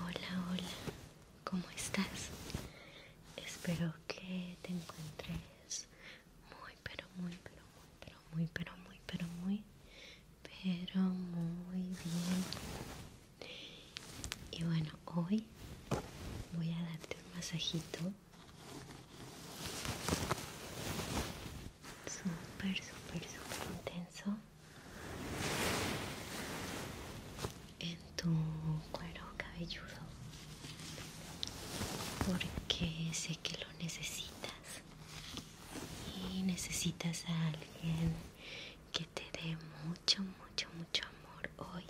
Hola, hola, ¿cómo estás? Espero que te encuentres muy, pero muy, pero muy, pero muy, pero muy, pero muy, pero muy bien. Y bueno, hoy voy a darte un masajito súper, súper, súper intenso en tu cuero cabelludo porque sé que lo necesitas y necesitas a alguien que te dé mucho mucho mucho amor hoy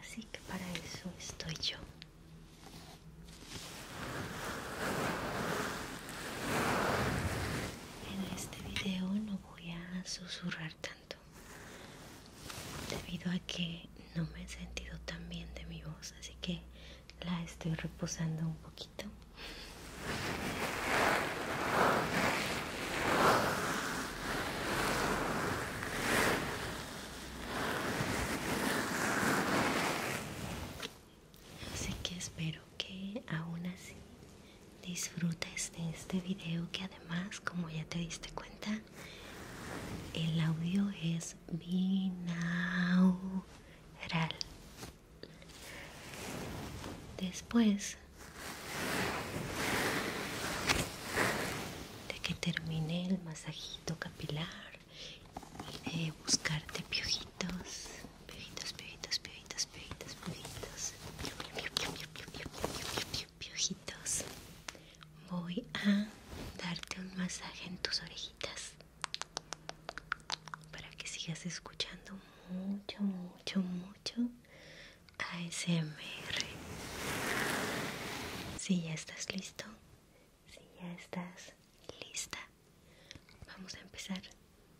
así que para eso estoy yo en este video no voy a susurrar tanto debido a que no me he sentido tan bien de mi voz así que la estoy reposando un poquito Así que espero que aún así disfrutes de este video que además, como ya te diste cuenta, el audio es binaural. Después de que termine el masajito capilar y de buscarte piojitos Piojitos, piojitos, piojitos, piojitos, piojitos. Piojitos. Voy a darte un masaje en tus orejitas para que sigas escuchando mucho, mucho, mucho ASMR. Si ya estás listo, si ya estás lista, vamos a empezar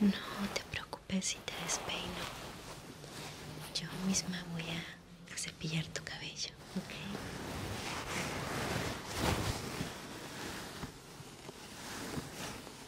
No te preocupes si te despeino. Yo misma voy a cepillar tu cabello,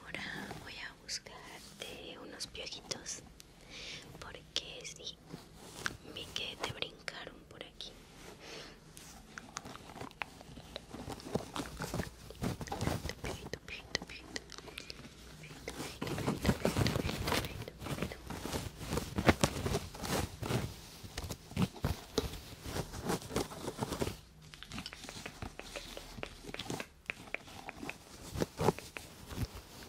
Ahora voy a buscarte unos piojitos porque si me que te brincaron por aquí. Tupi tupi tupi tupi tupi tupi tupi tupi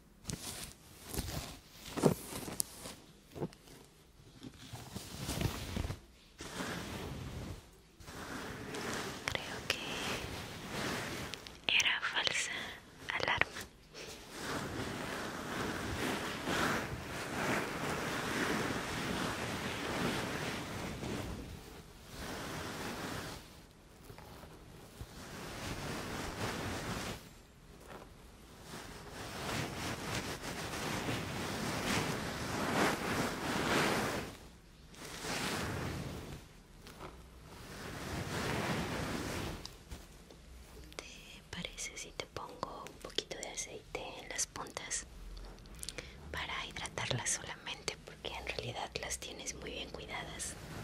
Creo que era falsa alarma. ¿Te parece si te pongo un poquito de aceite en las puntas para hidratarlas solamente porque en realidad las tienes muy bien cuidadas?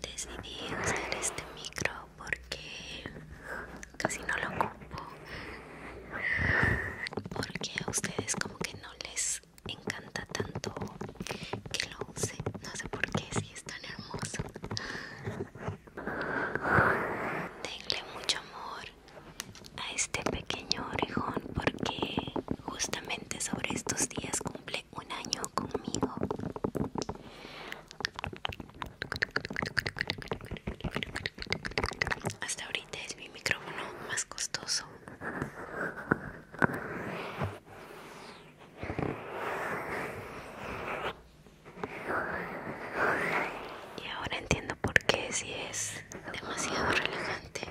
Decidí usar este micro porque casi no lo ocupo. Porque a ustedes como que no les encanta tanto que lo use. No sé por qué, si es tan hermoso. Denle mucho amor a este pequeño orejón porque justamente sobre estos días cumple un año conmigo. Hasta ahorita es mi micrófono más costoso. Y ahora entiendo por qué si es demasiado relajante.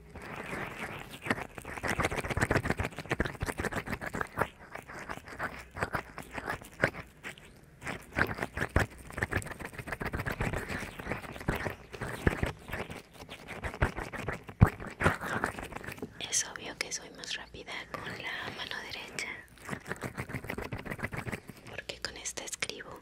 Es obvio que soy más rápida con la mano derecha porque con esta escribo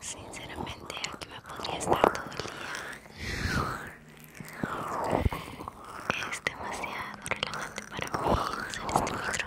Sinceramente, aquí me podría estar todo día. Es demasiado relajante para mí este micrófono.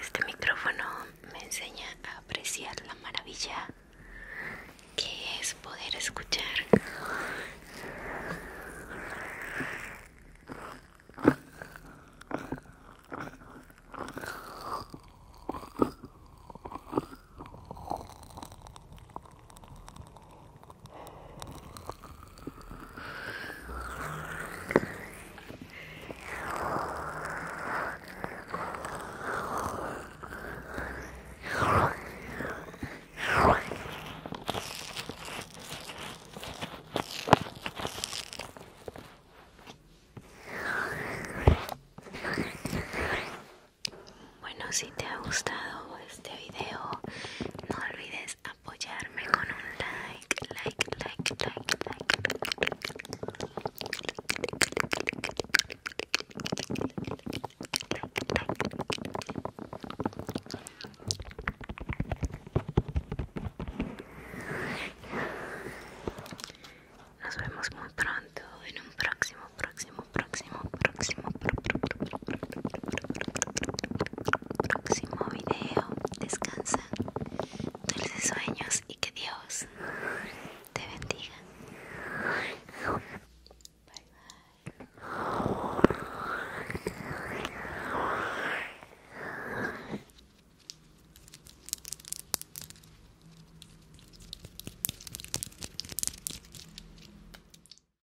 Este micrófono me enseña a apreciar la maravilla que es poder escuchar. Bueno, si te ha gustado este video. No olvides apoyarme con un like, like, like, like, like. Nos vemos muy pronto en un próximo, próximo, próximo, próximo, próximo, próximo, próximo video. Descansa, dulces sueños y que Dios te bendiga. Bye